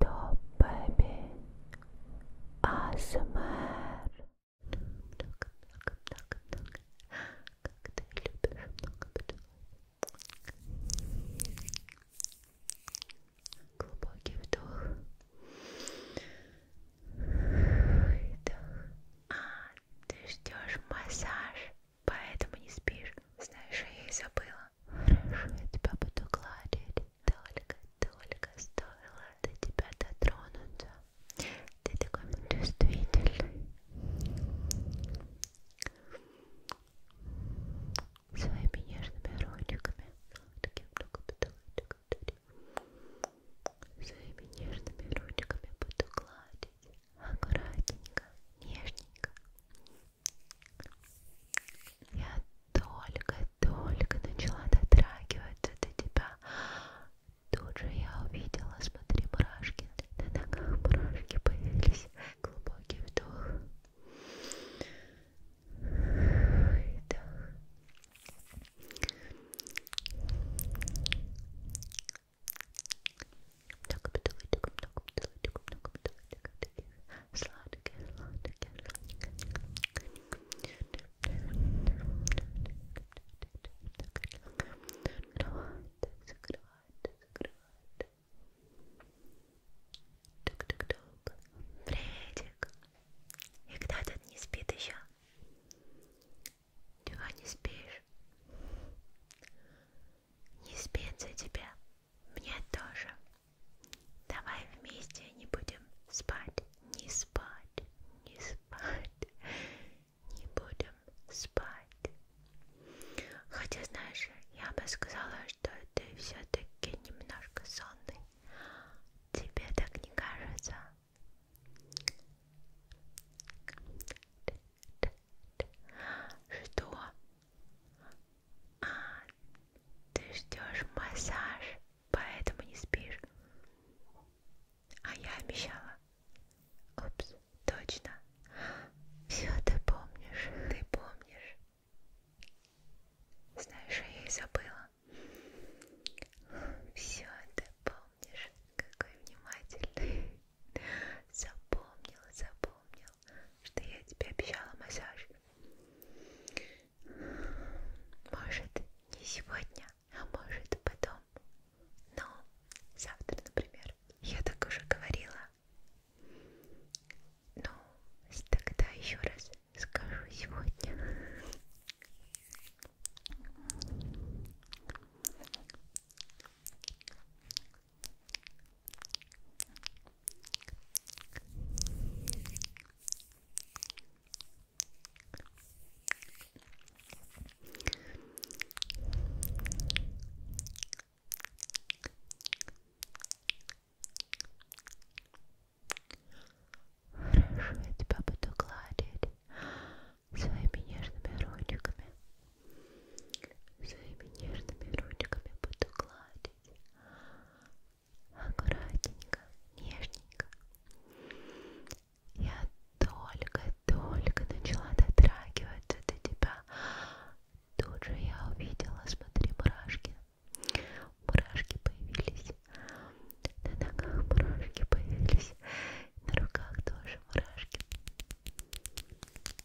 Top baby ASMR Много, много, много, много Как ты любишь много поцелуев Глубокий вдох Выдох А, ты ждешь массаж Поэтому не спишь Знаешь, я и забыла Хорошо, я тебя буду гладить. Только-только стоило до тебя дотронуться. Ты такой чувствительный. Своими нежными ручками. Своими нежными ручками буду гладить. Аккуратненько, нежненько. Я только-только начала дотрагиваться до тебя. Тут же я увидела, смотри, мурашки. На ногах мурашки появились. Глубокий вдох. Выдох. Так, бутылочек, много бутылочек, много бутылочек сладкие, Тук-тук-тук. Приветик. И кто тут не спит еще? Чего не спишь? Не спится тебя. Мне тоже. Давай вместе не будем спать, не спать, не спать, не будем спать. Хотя, знаешь, я бы сказала, что ты все-таки немножко сонный. Тебе так не кажется? Что? А, ты ждешь массаж, поэтому не спишь. А я обещала. Упс, точно. Все ты помнишь, ты помнишь. Знаешь, а я и забыла. Все ты помнишь, какой внимательный. Запомнил, запомнил что я тебе обещала массаж. Может, не сегодня, а может потом. Но завтра, например. Я так уже говорила. Ну, тогда еще раз скажу сегодня. Хорошо, я тебя буду гладить своими нежными ручками. Своими нежными ручками буду гладить. Смотрите. Аккуратненько, нежненько. Я только-только начала дотрагиваться до тебя. Тут же я увидела, смотри, мурашки. Мурашки появились. На ногах мурашки появились. На руках тоже мурашки.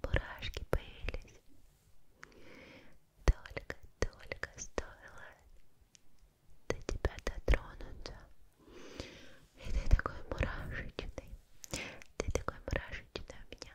Мурашки появились. Только-только стоило до тебя дотронуться. И ты такой мурашечный. Ты такой мурашечный у меня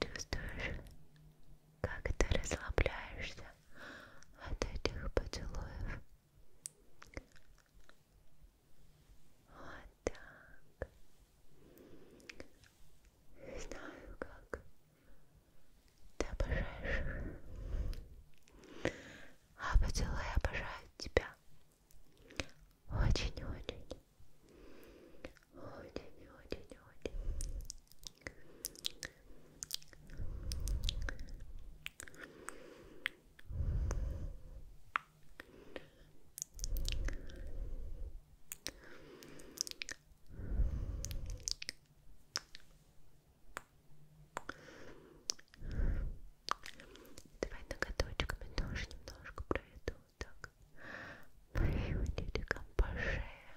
Чувствуешь, как ты расслабляешься от этих поцелуев? Вот так. Знаю, как ты обожаешь. А поцелуи обожают тебя. Очень-очень. Давай ноготочками тоже немножко проведу так. Мои по шее.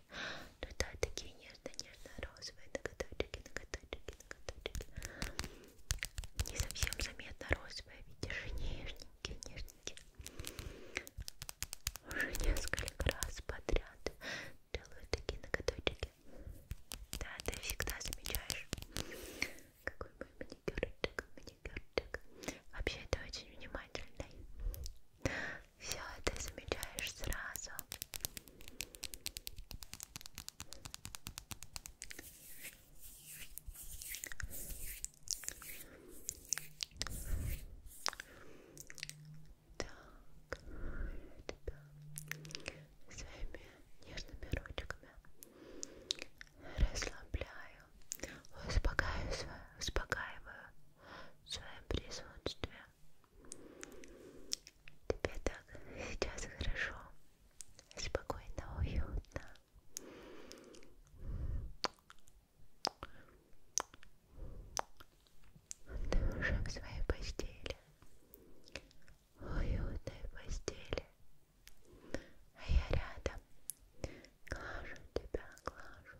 ноготочки. Ну да, такие нежно-нежно-розовые ноготочки, ноготочки, ноготочки. Не совсем заметно розовые, видишь, нежненькие, нежненькие. Уже несколько раз подряд делаю такие ноготочки. Да, ты всегда замечаешь, какой мой маникюрчик, маникюрчик. Вообще, это очень внимательный все это замечаешь сразу. Так, тебя своими нежными ручками расслабляю, успокаиваю, успокаиваю своим присутствием. Тебе так сейчас хорошо, спокойно, уютно. Ты уже в своей постели, уютной постели, а я рядом, глажу тебя, глажу.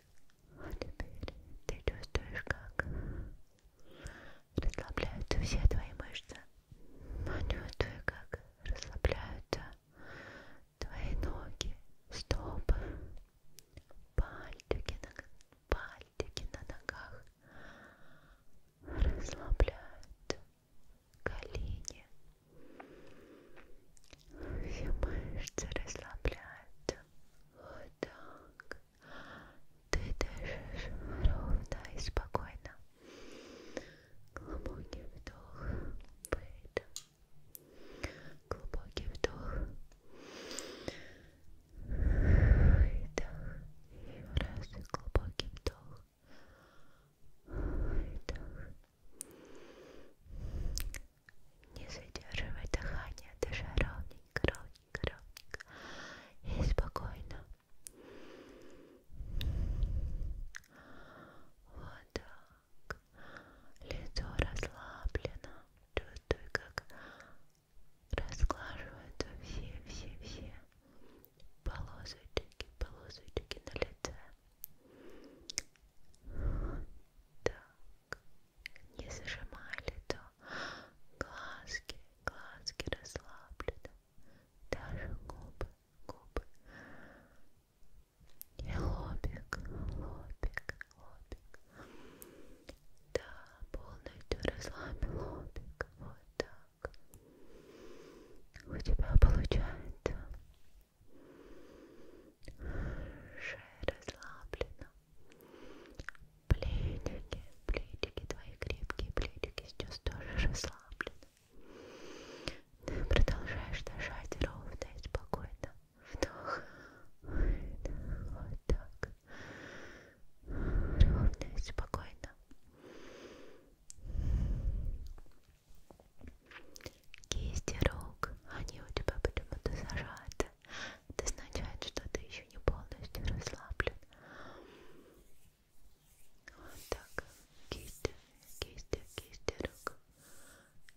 А теперь ты чувствуешь, как расслабляются все твои мышцы. Чувствуй, как расслабляются твои ноги, стопы, пальчики на, пальчики на ногах. Расслабляют колени. Все мышцы расслабляются. Вот так. Ты дышишь ровно и спокойно. Глубокий вдох, выдох. Глубокий вдох. Выдох. Еще раз глубокий вдох. Выдох. Не задерживай дыхание, дыша ровненько, ровненько, ровненько и спокойно. Вот так. Лицо расслаблено. Чувствуй, как расклаживаются все-все-все полосочки, полосочки на лице. Так не зажимали, то глазки, глазки расслаблены, даже губы, губы. И лобик, лобик, лобик. Да, полностью расслабь лобик, вот так. У тебя получается шея расслаблена, Плечики, плечики твои крепкие, плечики сейчас тоже расслаблены. Продолжаешь дышать ровно и спокойно. Вдох, выдох, вот так. Ровно и спокойно. Кисти рук, они у тебя почему-то зажаты. Это означает, что ты еще не полностью расслаблен. Вот так, кисти, кисти, кисти рук.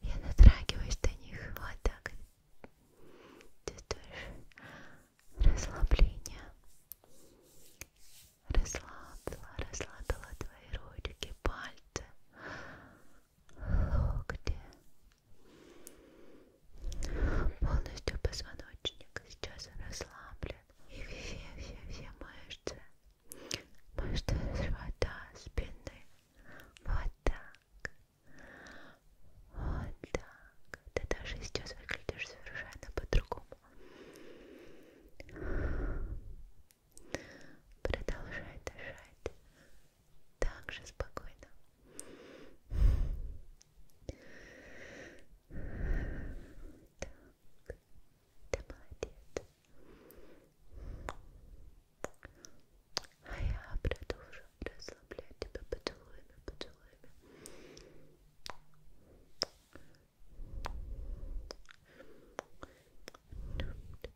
Я дотрагиваюсь до них, вот так. Чувствуешь расслабление. Расслабила, расслабила твои ручки, пальцы, локти, Полностью позвоночник сейчас расслаблен. И все-все-все мышцы. Мышцы живота, спины. Вот так. Вот так. Ты даже сейчас выглядишь совершенно по-другому. Продолжай дышать так же спокойно. Так, ты молодец. А я продолжу расслаблять тебя поцелуями, поцелуями. Так,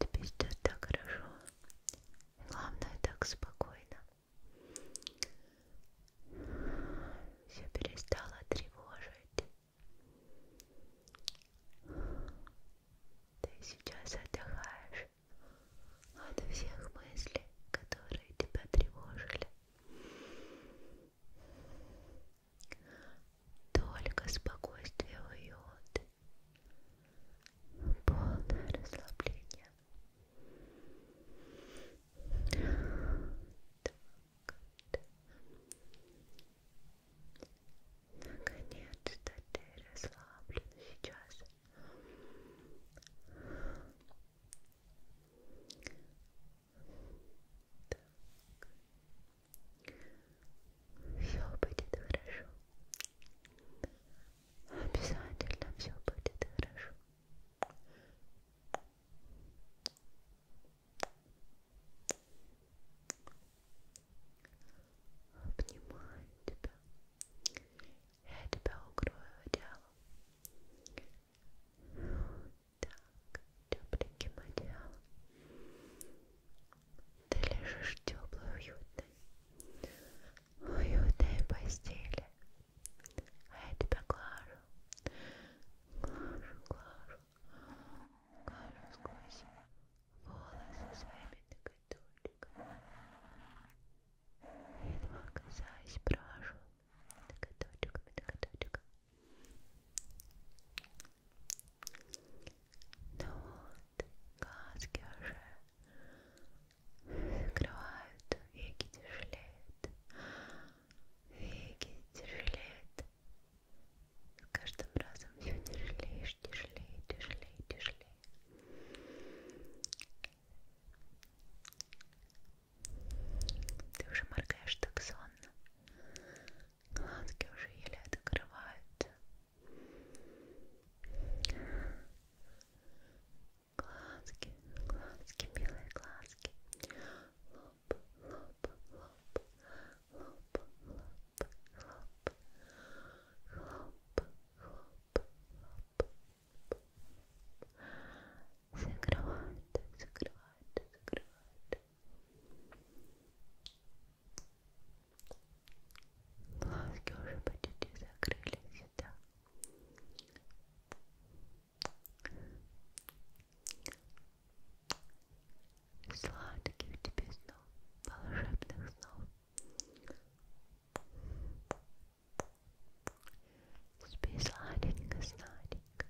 Тебе сейчас так хорошо, главное так спокойно все перестало тревожить. Ты сейчас отдыхаешь от всех мыслей, которые тебя тревожили. Только спокойствие, уют, полное расслабление. Наконец-то ты расслаблен сейчас. Так. Все будет хорошо. Обязательно все будет хорошо. Обнимаю тебя. Я тебя укрою одеялом. Так, тепленьким одеялом. Ты лежишь в теплой, уютной, уютной постели. А я тебя глажу. Глажу, глажу. Глажу сквозь волосы своими ноготочками. Едва касаясь прошу ноготочками, ноготочками. Ну вот, глазки уже закрывают, веки тяжелеют, веки тяжелеют. С каждым разом все тяжелеешь, тяжелее, тяжелее, тяжелее. Ты уже моргаешь так сонно. Глазки уже еле открываются глазки, глазки, белые глазки, лоб, лоб, лоб, лоб, лоб, лоб, хлоп, хлоп, лоб. Закрывают, закрывают, закрывают. Глазки уже почти закрылись, да. Сладких тебе снов, волшебных снов. Спи сладенько, сладенько.